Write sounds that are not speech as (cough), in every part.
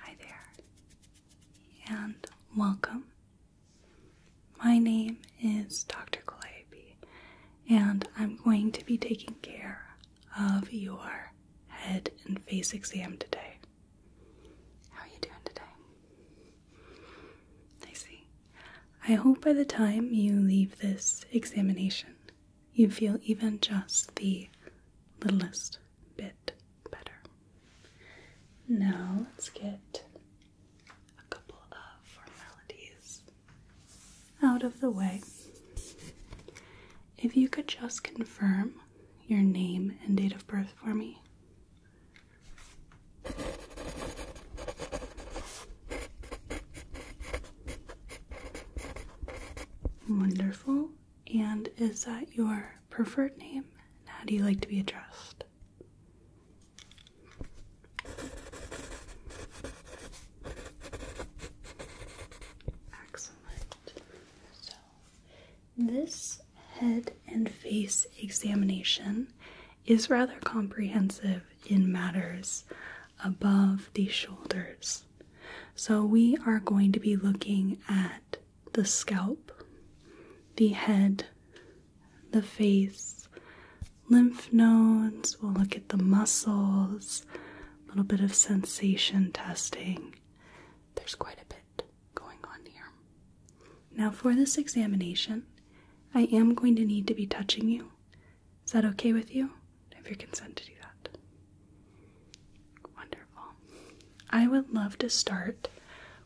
Hi there, and welcome. My name is Dr. Calliope, and I'm going to be taking care of your head and face exam today. How are you doing today? I see. I hope by the time you leave this examination, you feel even just the littlest bit better. Now let's get a couple of formalities out of the way. If you could just confirm your name and date of birth for me. Wonderful. And is that your preferred name and how do you like to be addressed? Excellent. So, this head and face examination is rather comprehensive in matters above the shoulders. So, we are going to be looking at the scalp, the head, the face, lymph nodes. We'll look at the muscles, a little bit of sensation testing. There's quite a bit going on here. Now, for this examination, I am going to need to be touching you. Is that okay with you? I have your consent to do that. Wonderful. I would love to start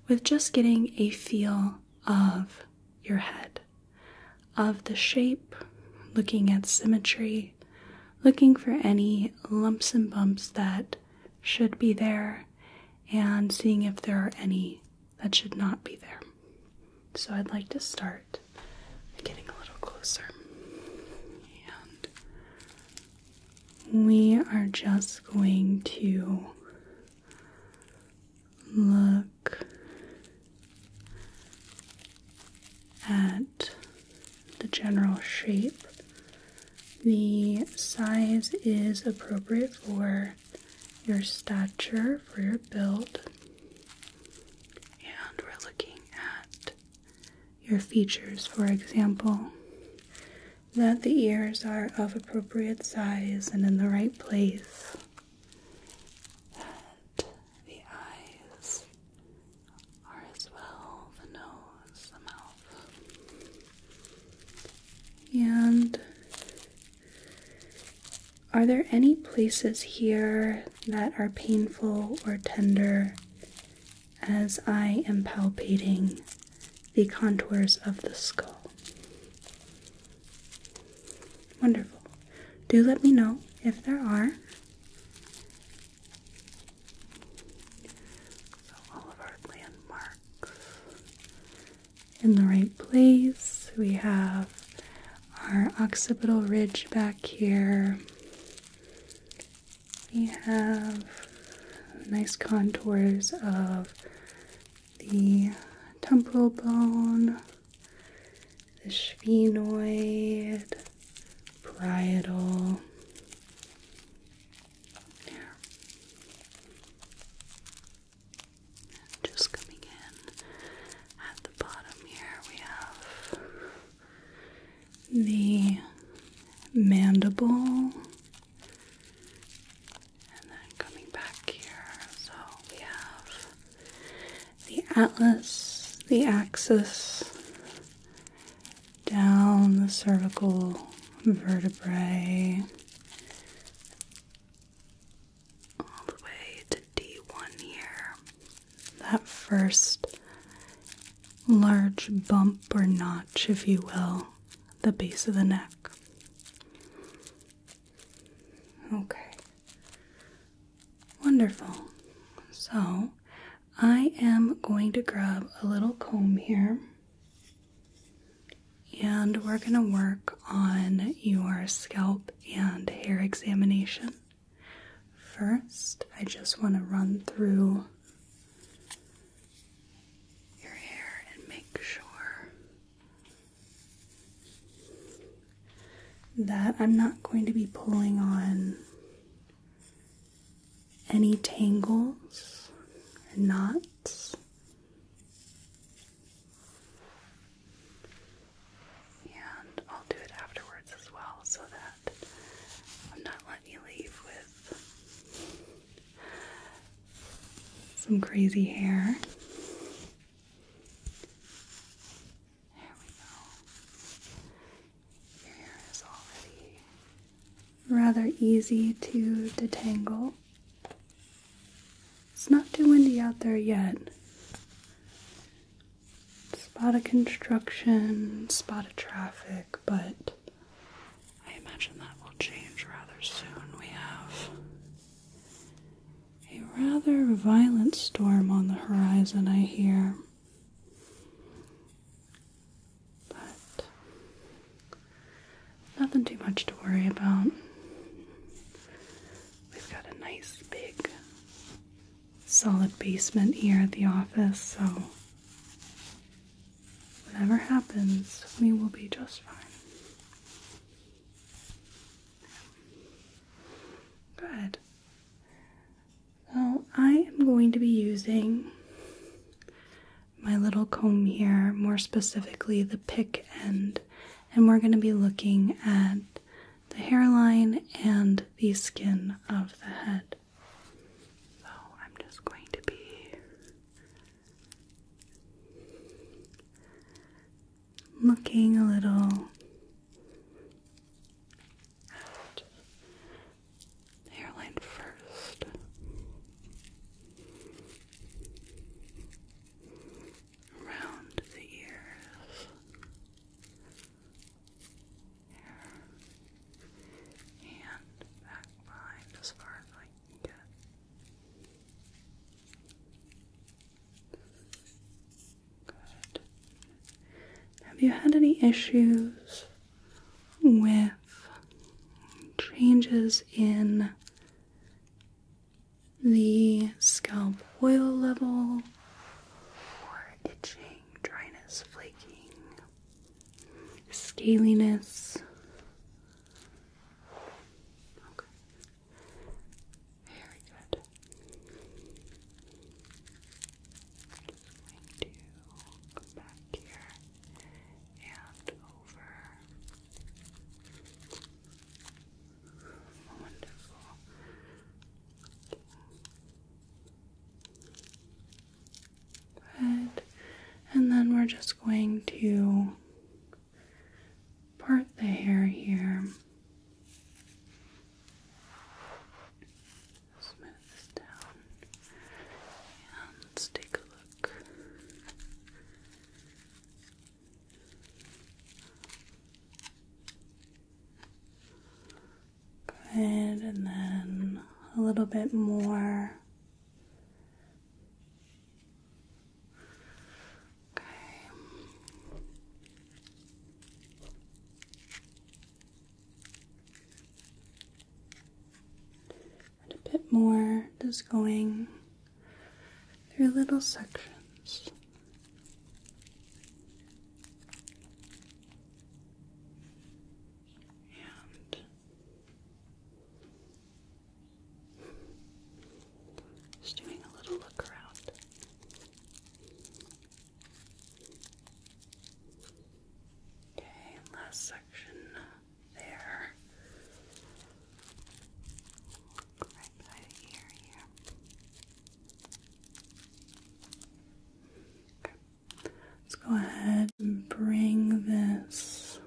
with just getting a feel of your head, of the shape, looking at symmetry, looking for any lumps and bumps that should be there, and seeing if there are any that should not be there. So I'd like to start getting a little closer we are just going to look at the general shape. The size is appropriate for your stature, for your build. And we're looking at your features, for example, that the ears are of appropriate size and in the right place, that the eyes are as well, the nose, the mouth. And are there any places here that are painful or tender as I am palpating the contours of the skull. Wonderful. Do let me know if there are. all of our landmarks in the right place. We have our occipital ridge back here. We have nice contours of the temporal bone, the sphenoid, parietal. Yeah. Just coming in at the bottom here, we have the mandible and then coming back here, so we have the atlas, the axis, down the cervical vertebrae, all the way to D1 here. That first large bump or notch, if you will, the base of the neck. Okay. Wonderful. So, I am going to grab a little comb here and we're going to work on your scalp and hair examination. First, I just want to run through your hair and make sure that I'm not going to be pulling on any tangles or knots. And I'll do it afterwards as well so that I'm not letting you leave with some crazy hair. There we go. Your hair is already rather easy to detangle. It's not too windy out there yet. Spot of construction, spot of traffic, but I imagine that will change rather soon. We have a rather violent storm on the horizon, I hear. But nothing too much to worry about. We've got a nice big solid basement here at the office, so Whatever happens, we will be just fine. Good. So I am going to be using my little comb here, more specifically the pick end, and we're going to be looking at the hairline and the skin of the head. So I'm just going to be looking a little at hairline first. Around the ears and back behind as far as I can get. Good. Have you had any issues with changes in the scalp oil level or itching, dryness, flaking, scaliness. Okay. Very good. Just going to come back here and over. Wonderful. Good. And then we're just going to part the hair here. Smooth this down. And let's take a look. Good, and then a little bit more Okay. And a bit more just going through little sections. And just doing a little look around. Okay, last section there. Right by the ear here. Let's go ahead and bring this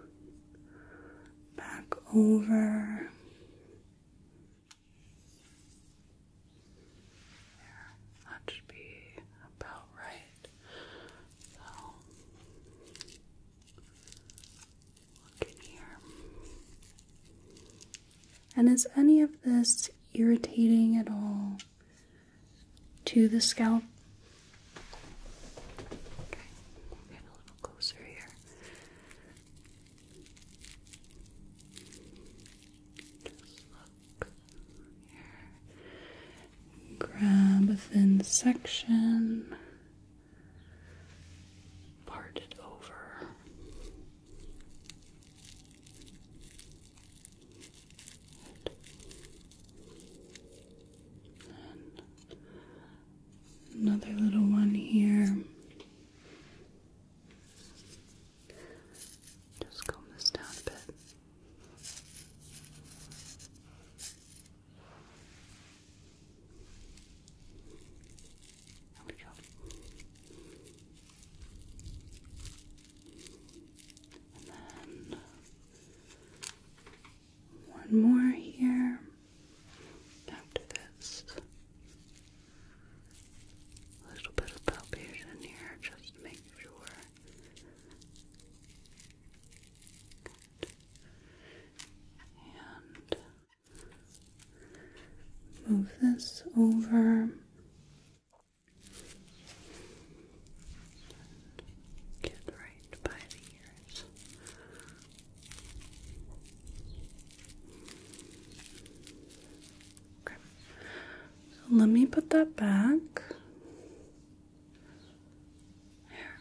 back over. That should be about right. So, look in here. And is any of this irritating at all? to the scalp. Okay, get a little closer here. Just look here. Grab a thin section, part it over another little one here. Just comb this down a bit. There we go. And then one more here after this. A little bit of palpation here just to make sure. And move this over. Get right by the ears. Okay. let me put that back. There.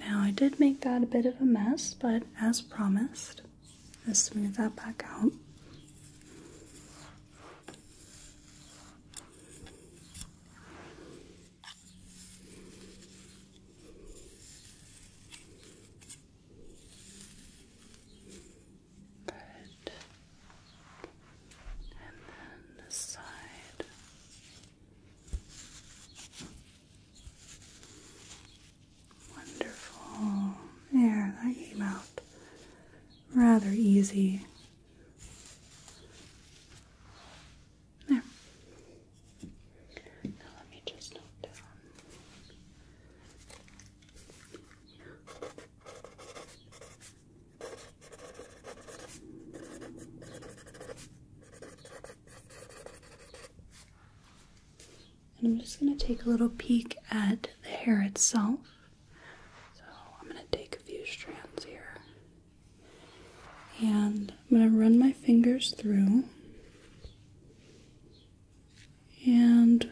Now I did make that a bit of a mess, but as promised, I'll smooth that back out. And then this side. Wonderful. There, that came out rather easy. There. Now let me just note down. And I'm just going to take a little peek at the hair itself. So I'm going to take a few strands here. And I'm going to run my fingers through. And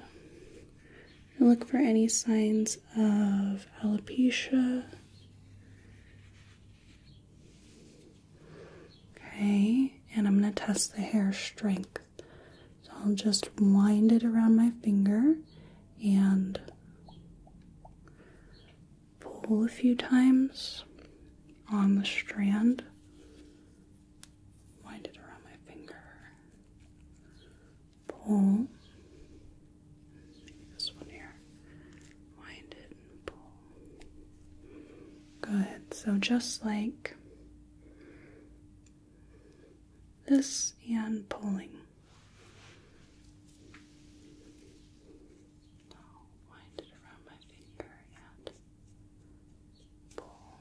look for any signs of alopecia. Okay, and I'm going to test the hair strength. So I'll just wind it around my finger and pull a few times on the strand. Wind it around my finger. Pull. This one here. Wind it pull. Good. So just like this and pulling. Now wind it around my finger and pull.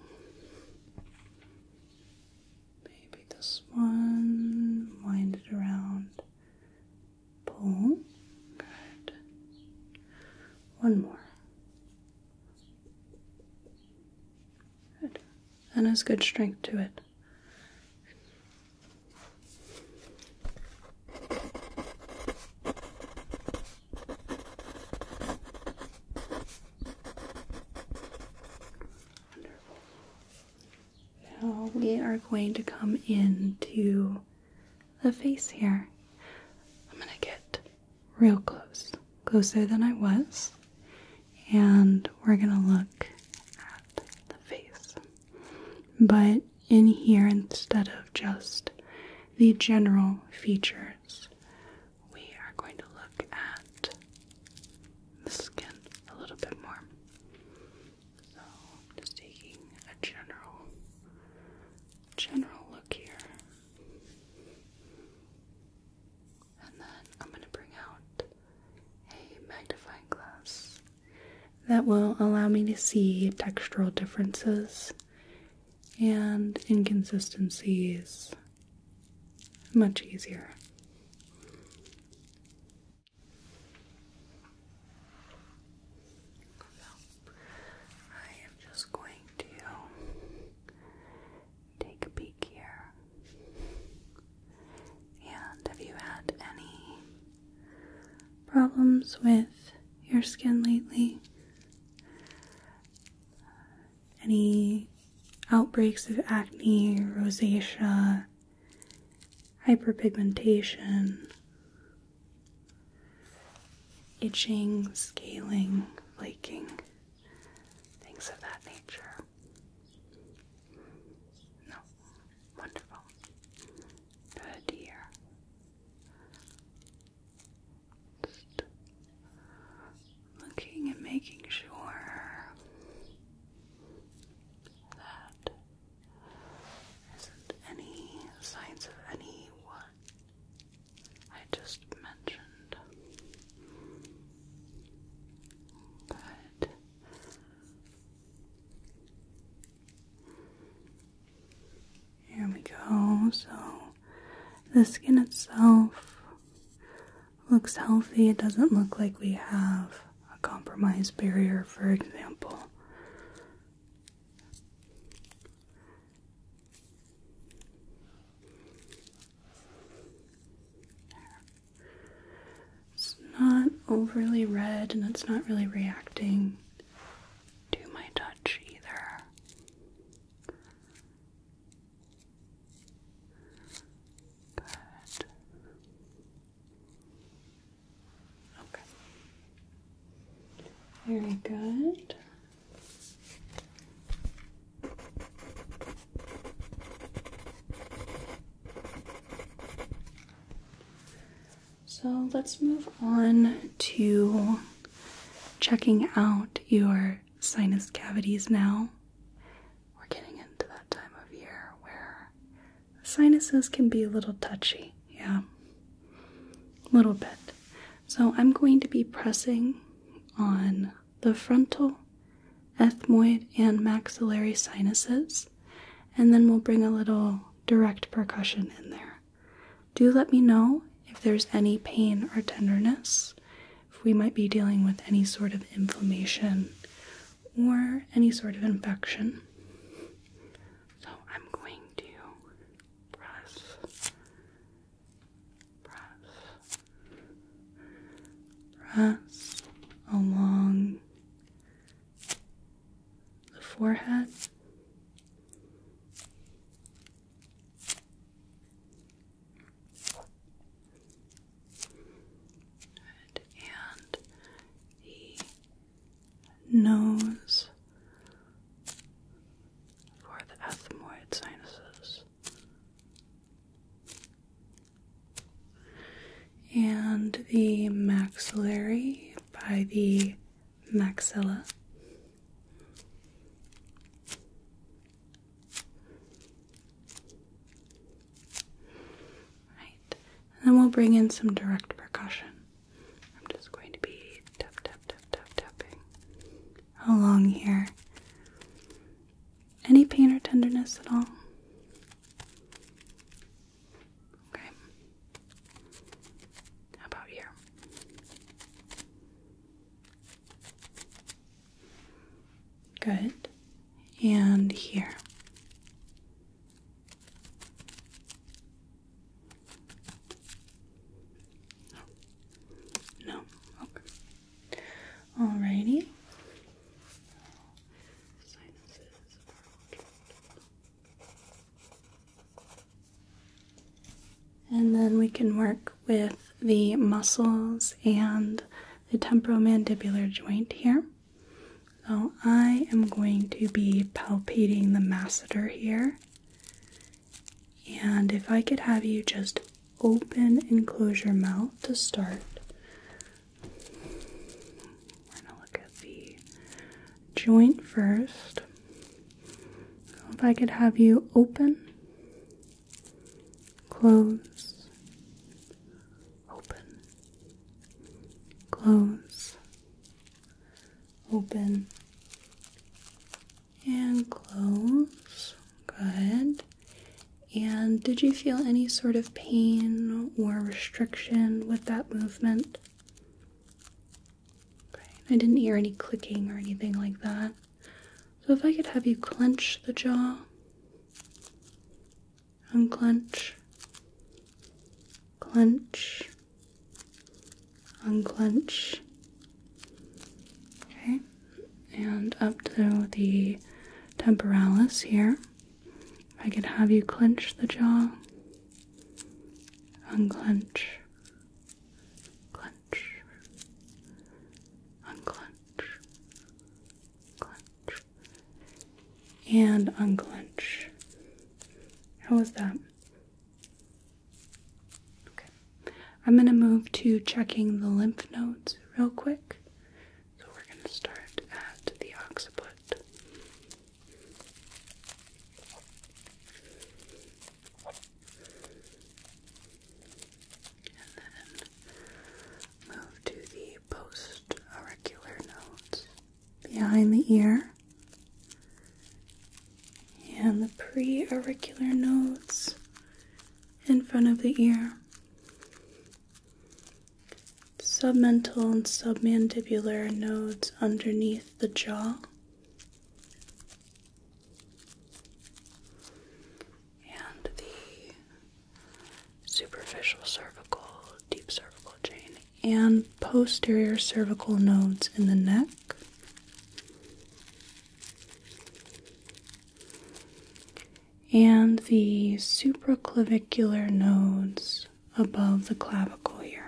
Maybe this one, wind it around, pull. Good. One more. Good. And has good strength to it. Now we are going to come into the face here. I'm going to get real close, closer than I was, and we're going to look at the face but in here, instead of just the general features, we are going to look at the skin a little bit more. So, I'm just taking a general, general look here. And then I'm going to bring out a magnifying glass that will allow me to see textural differences and inconsistencies much easier. I am just going to take a peek here. And if you had any problems with your skin lately? Any outbreaks of acne, rosacea, hyperpigmentation, itching, scaling, flaking, things of that nature? No. Wonderful. Good here. Just looking and making sure that isn't any signs of any what I just mentioned. Good. Here we go. So the skin itself looks healthy. It doesn't look like we have a compromised barrier, for example. It's not overly red and it's not really reacting to my touch either. Good. Okay. Very good. So let's move on to checking out your sinus cavities now. We're getting into that time of year where sinuses can be a little touchy, yeah. A little bit. So I'm going to be pressing on the frontal, ethmoid, and maxillary sinuses, and then we'll bring a little direct percussion in there. Do let me know if there's any pain or tenderness, if we might be dealing with any sort of inflammation or any sort of infection. So I'm going to press, press, press along the forehead. And the nose for the ethmoid sinuses and the maxillary by the maxilla. Right. And then we'll bring in some direct percussion. I'm just going to be tap tap tap tap tapping along here. Any pain or tenderness at all? Okay. How about here? Good. And here. No. Okay. Alrighty. And then we can work with the muscles and the temporomandibular joint here. So I am going to be palpating the masseter here. And if I could have you just open and close your mouth to start. We're gonna look at the joint first. if I could have you open, close, open, close, open, and close. Good. And did you feel any sort of pain or restriction with that movement? Okay, I didn't hear any clicking or anything like that. So if I could have you clench the jaw, unclench, clench, unclench. Okay, and up to the temporalis here. I could have you clench the jaw, unclench, clench, unclench, clench, and unclench. How was that? Okay, I'm going to move to checking the lymph nodes real quick. So we're going to start at the occiput move to the post nodes behind the ear and the preauricular nodes in front of the ear. Submental and submandibular nodes underneath the jaw. And the superficial cervical, deep cervical chain, and posterior cervical nodes in the neck. And the supraclavicular nodes above the clavicle here.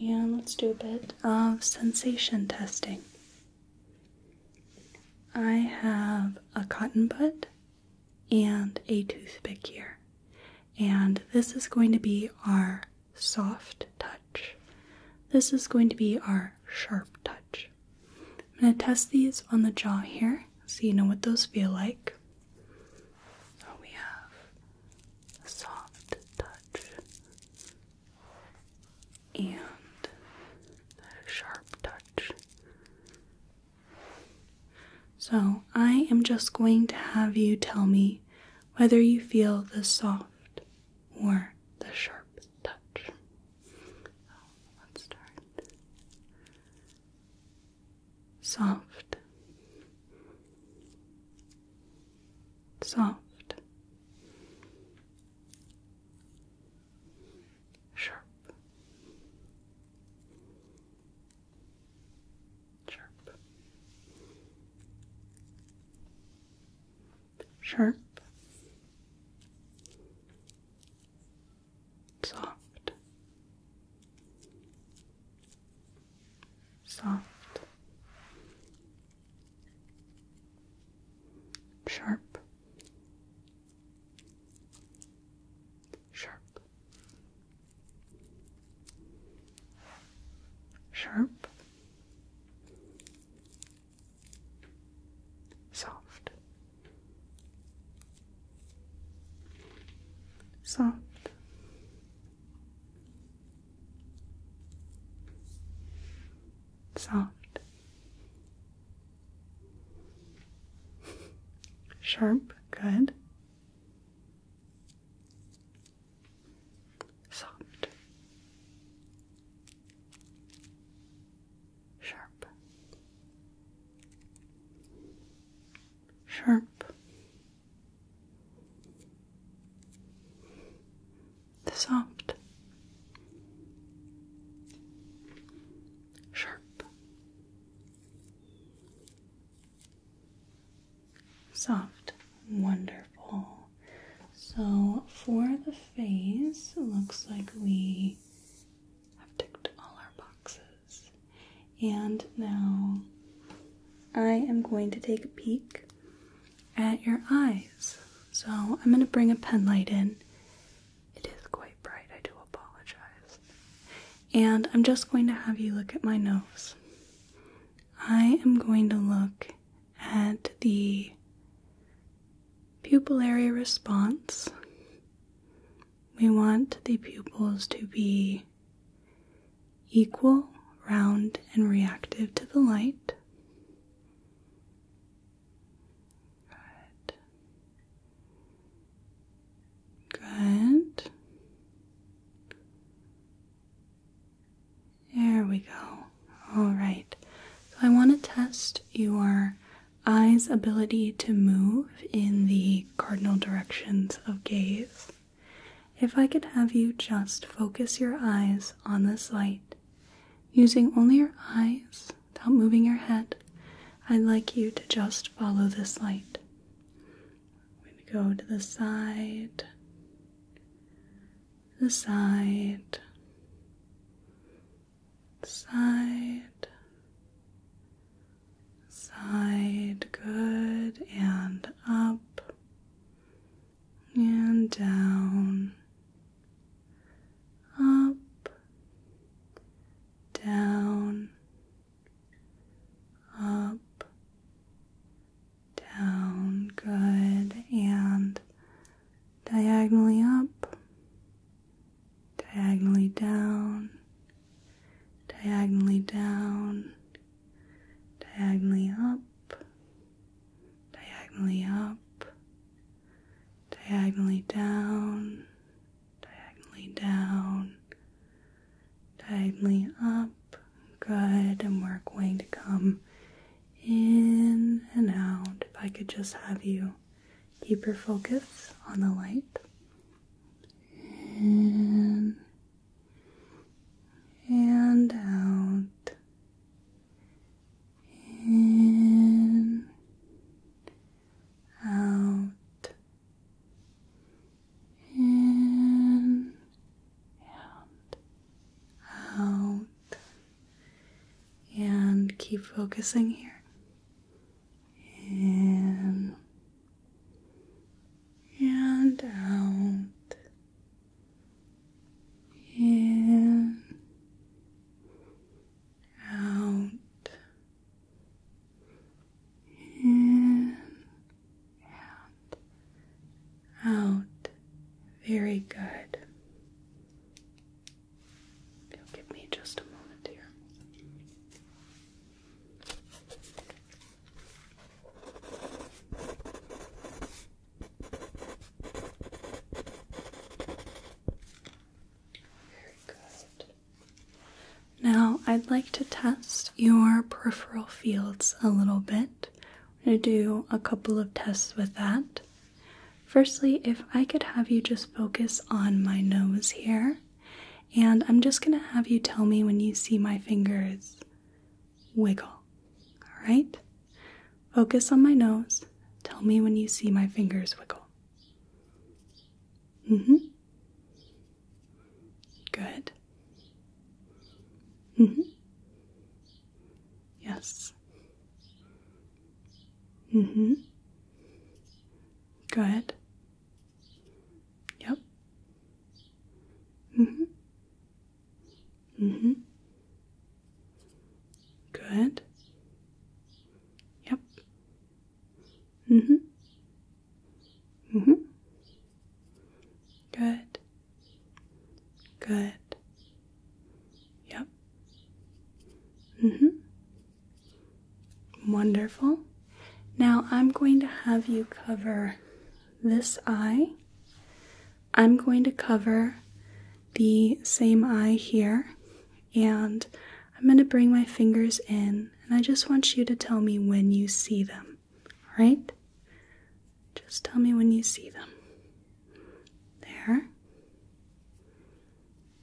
and let's do a bit of sensation testing. I have a cotton bud and a toothpick here, and this is going to be our soft touch. This is going to be our sharp touch. I'm going to test these on the jaw here so you know what those feel like. So oh, we have soft touch and sharp touch. So, I am just going to have you tell me whether you feel the soft or the sharp touch. let's start soft, soft, sharp, sharp, sharp. Soft, soft, sharp, sharp, sharp, soft, soft. Soft, sharp, good, soft, sharp, sharp, the soft, sharp, soft, wonderful. So for the face, looks like we have ticked all our boxes. And now I am going to take a peek at your eyes. So I'm going to bring a pen light in. It is quite bright, I do apologize. And I'm just going to have you look at my nose. I am going to look at the pupillary response. We want the pupils to be Equal, round, and reactive to the light. Good. Good. There we go. All right. So I want to test your eyes' ability to move in the cardinal directions of gaze. If I could have you just focus your eyes on this light, using only your eyes without moving your head, I'd like you to just follow this light. we go to the side, the side, side, side, good, and up and down, up, down, up, down, good, and diagonally up, diagonally down, diagonally down diagonally up, diagonally up, diagonally down, diagonally down, diagonally up. Good, and we're going to come in and out. If I could just have you keep your focus on the light. In and out, in, out, in, out, out, and keep focusing here. In and out in out in out out very good give me just a moment here very good. Now, I'd like to test your peripheral fields a little bit. I'm going to do a couple of tests with that. Firstly, if I could have you just focus on my nose here, and I'm just going to have you tell me when you see my fingers wiggle. All right? Focus on my nose. Tell me when you see my fingers wiggle. Mm hmm. Good. Mm hmm. Yes. Mm hmm. Good. Yep. Mm hmm. Mm hmm. Good. Yep. Mm hmm. Mm hmm. Good. Good. Yep. Mm hmm. Wonderful. Now I'm going to have you cover this eye. I'm going to cover the same eye here and I'm going to bring my fingers in and I just want you to tell me when you see them. All right? Just tell me when you see them. There.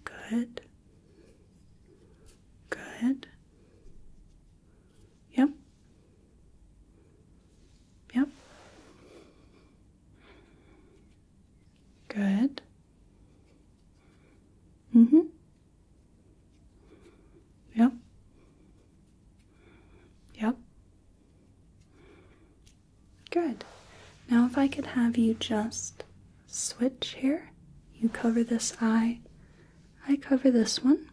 Good. Good. Yep. Yep. Good. Mm hmm. Yep. Yep. Good. Now, if I could have you just switch here, you cover this eye, I cover this one.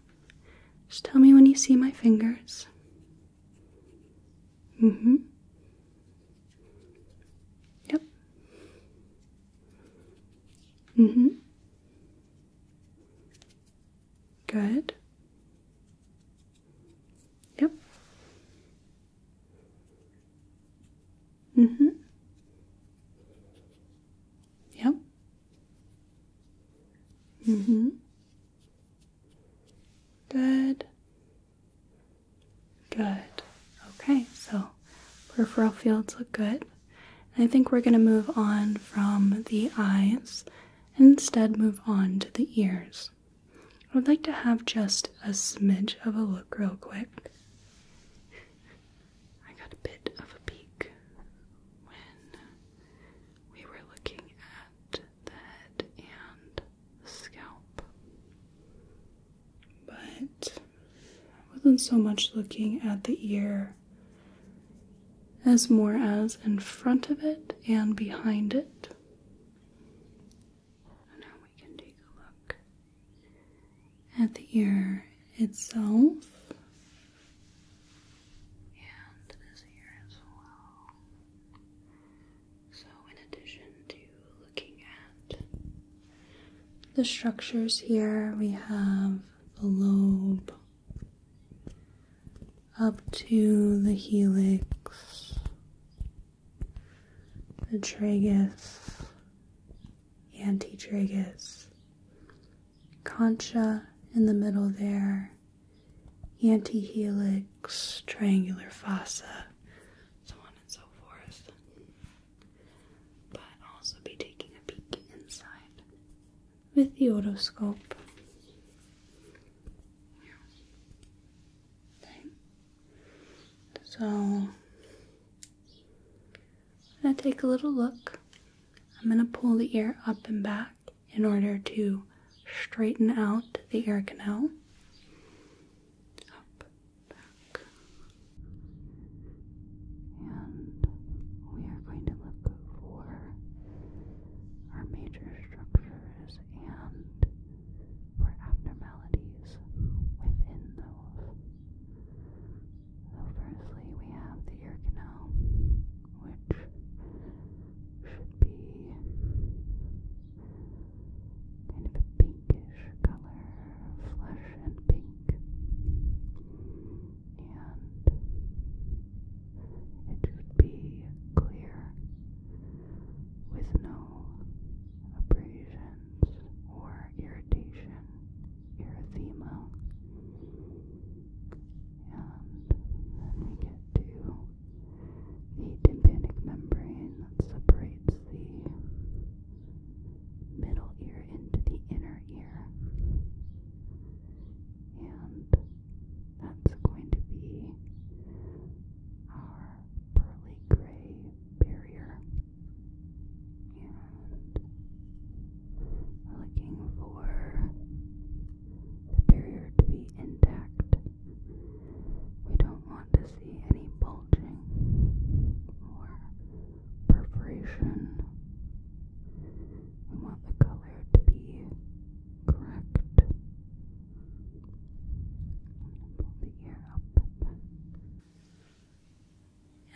Just tell me when you see my fingers. Mm hmm. Yep. Mm hmm. Good. Yep. Mm hmm. Yep. Mm hmm. Good. Good. Okay, so peripheral fields look good. I think we're going to move on from the eyes and instead move on to the ears. I would like to have just a smidge of a look, real quick. I got a bit of a peek when we were looking the head and the scalp. But I wasn't so much looking at the ear as more as in front of it and behind it. now we can take a look at the ear itself and this ear as well. So, in addition to looking at the structures here, we have the lobe up to the helix, the tragus, antitragus, concha in the middle there, antihelix, triangular fossa, so on and so forth. But also be taking a peek inside with the otoscope. So I'm gonna take a little look. I'm gonna pull the ear up and back in order to straighten out the air canal. And we are going to look for our major structures and for abnormalities within those. firstly, we have the ear canal, which should be kind of a pinkish color, flesh and pink. And it should be clear with no abrasions or irritation, erythema. And then we get to the tympanic membrane that separates the middle ear into the inner ear. And that's going to be our pearly gray barrier. And looking for the to be intact. We don't want to see any bulging or perforation. We want the color to be correct.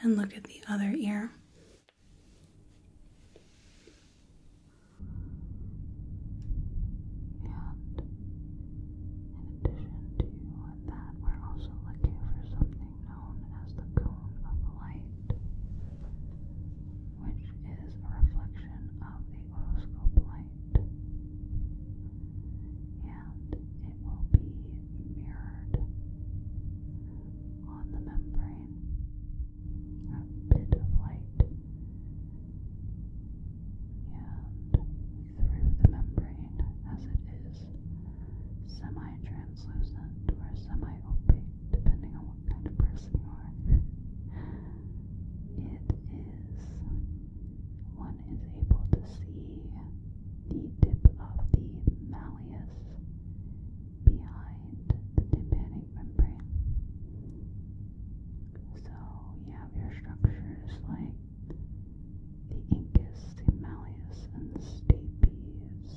And look at the other ear in addition to that, we're also looking for something known as the cone of light, which is a reflection of the oscilloscope light. And it will be mirrored on the membrane a bit of light, and through the membrane, as it is semi translucent or semi opaque, depending on what kind of person you are. It is one is able to see the tip of the malleus behind the tympanic remember? So you have your structures like the Incas, Malleus, and Stapes.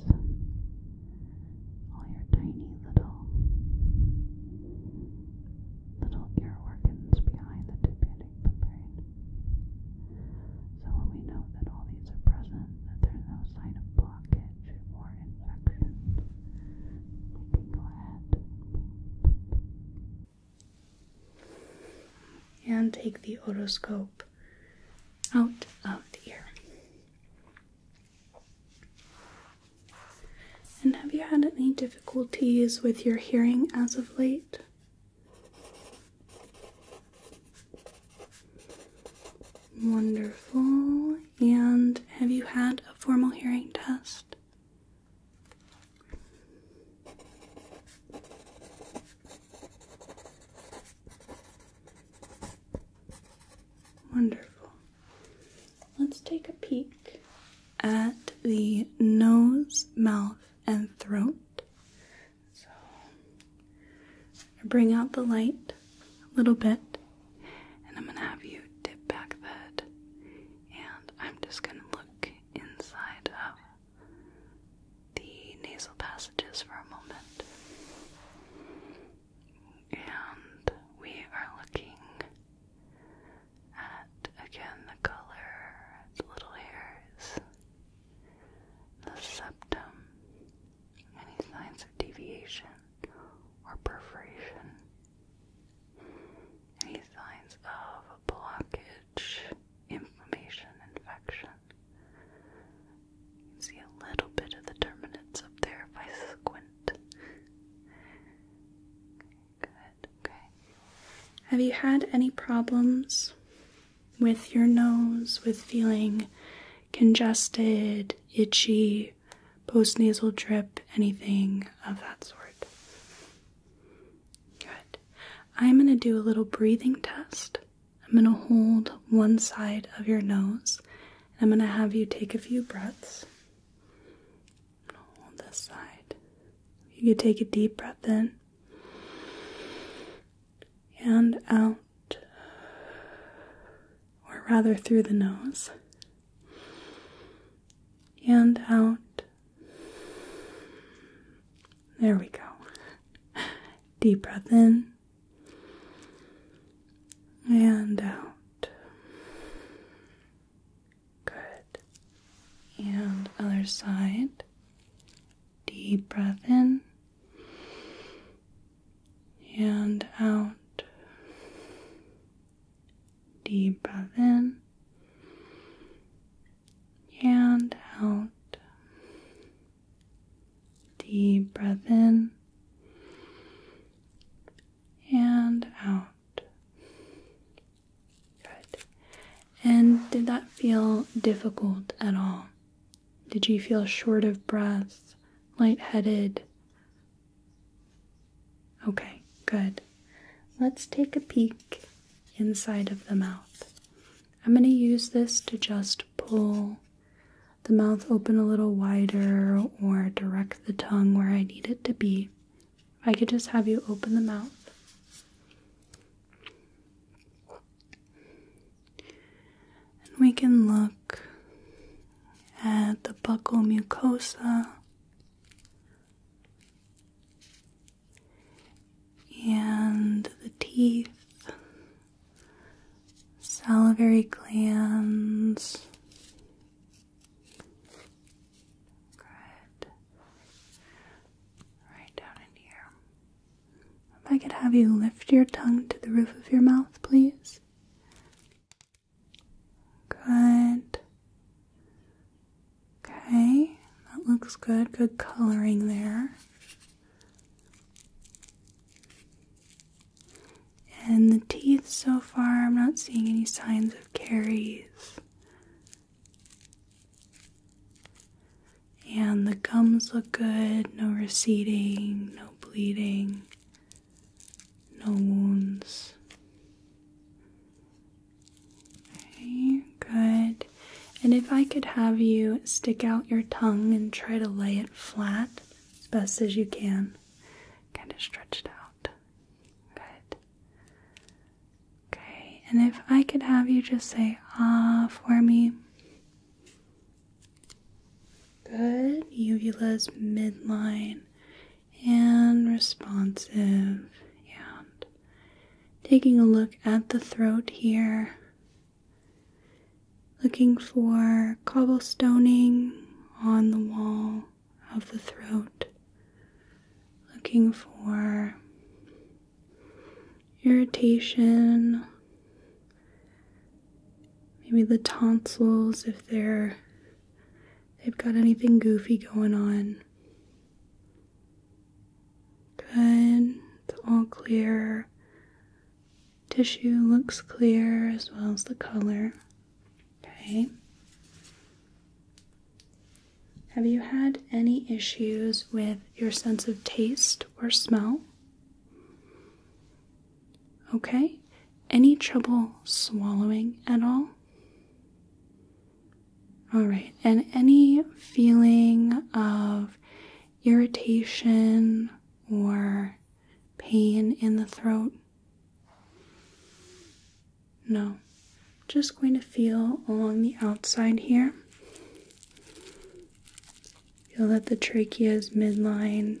All your tiny little little ear organs behind the tympanic membrane. So when we know that all these are present, that there's no sign of blockage or infection, and take the otoscope out of the ear. And have you had any difficulties with your hearing as of late? Wonderful and have you had a formal hearing test? Wonderful. Let's take a peek at the nose, mouth, and throat. So, bring out the light a little bit and I'm going to have you dip back the head, and I'm just going to look inside of the nasal passages for a moment. And we are looking at again the color, the little hairs, the septum, any signs of deviation or perforation. Any signs of blockage, inflammation, infection? You can see a little bit of the terminates up there if I squint. good, okay. Have you had any problems with your nose, with feeling congested, itchy, postnasal drip, anything of that sort. Good. I'm going to do a little breathing test. I'm going to hold one side of your nose and I'm going to have you take a few breaths. hold this side. You can take a deep breath in and out or rather through the nose, and out. There we go. Deep breath in and out. Good. And other side. Deep breath in and out. Deep breath in and out. Deep breath in and out. Good. And did that feel difficult at all? Did you feel short of breath, light-headed? Okay, good. Let's take a peek inside of the mouth. I'm going to use this to just pull the mouth open a little wider or direct the tongue where I need it to be. I could just have you open the mouth. And we can look at the buccal mucosa and the teeth, salivary glands. Right down in here. If I could have you lift your tongue to the roof of your mouth, please. Good. Okay, that looks good. Good coloring there. And the teeth so far, I'm not seeing any signs of caries. And the gums look good, no receding, no bleeding no wounds. good. And if I could have you stick out your tongue and try to lay it flat as best as you can, kind of stretched out. Good. Okay, and if I could have you just say ah for me. Good. Uvula's midline and responsive and taking a look at the throat here looking for cobblestoning on the wall of the throat looking for irritation maybe the tonsils if they're they've got anything goofy going on. Good, it's all clear. Tissue looks clear as well as the color. Okay. Have you had any issues with your sense of taste or smell? Okay. Any trouble swallowing at all? All right, and any feeling of irritation or pain in the throat? No. Just going to feel along the outside here. Feel that the trachea is midline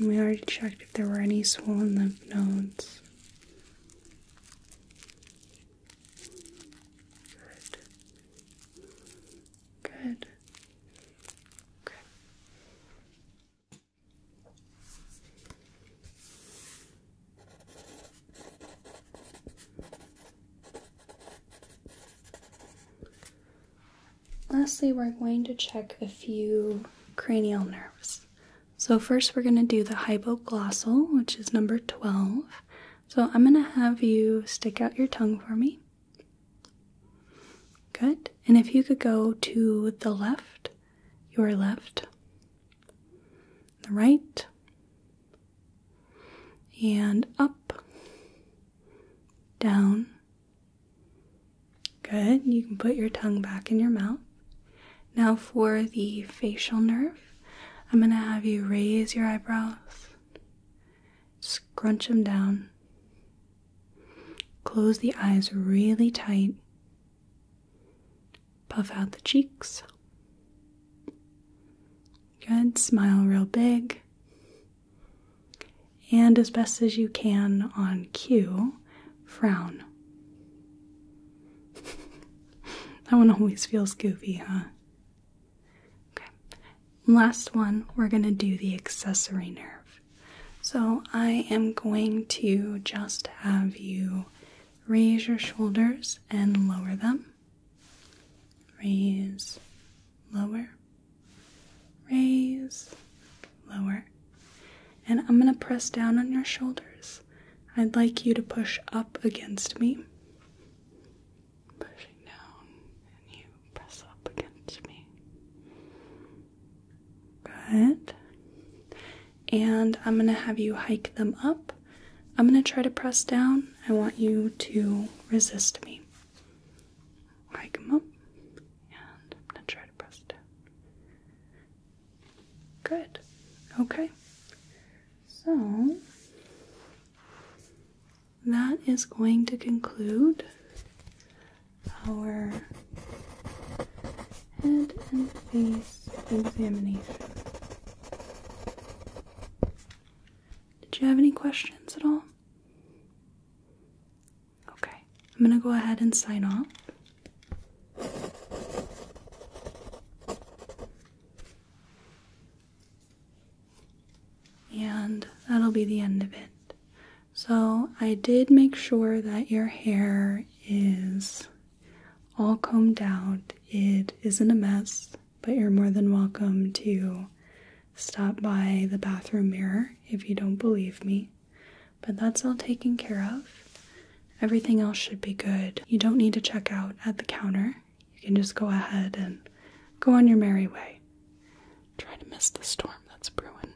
we already checked if there were any swollen lymph nodes. Good. Good. Okay. Lastly, we're going to check a few cranial nerves. So, first, we're going to do the hypoglossal, which is number 12. So, I'm going to have you stick out your tongue for me. Good. And if you could go to the left, your left, the right, and up, down, Good. You can put your tongue back in your mouth. Now, for the facial nerve, I'm going to have you raise your eyebrows, scrunch them down, close the eyes really tight, puff out the cheeks. Good. Smile real big. And as best as you can on cue, frown. (laughs) that one always feels goofy, huh? Okay. Last one, we're going to do the accessory nerve. So I am going to just have you raise your shoulders and lower them. Raise, lower, raise, lower. And I'm going to press down on your shoulders. I'd like you to push up against me. Pushing down, and you press up against me. Good. And I'm going to have you hike them up. I'm going to try to press down. I want you to resist me. I come up and I'm gonna try to press it down. Good. Okay. So that is going to conclude our head and face examination. Did you have any questions at all? Okay, I'm gonna go ahead and sign off. And that'll be the end of it. So, I did make sure that your hair is all combed out. It isn't a mess, but you're more than welcome to stop by the bathroom mirror if you don't believe me. But that's all taken care of. Everything else should be good. You don't need to check out at the counter. You can just go ahead and go on your merry way. Try to miss the storm that's brewing.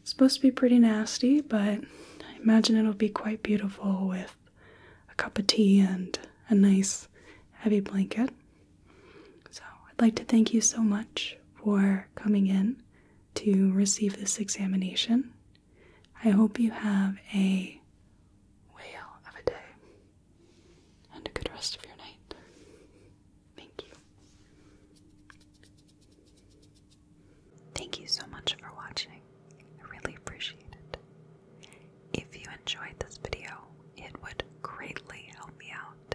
It's supposed to be pretty nasty, but I imagine it'll be quite beautiful with a cup of tea and a nice heavy blanket. So, I'd like to thank you so much for coming in to receive this examination. I hope you have a whale of a day and a good rest of your night. Thank you. Thank you so much for watching. I really appreciate it. If you enjoyed this video, it would greatly help me out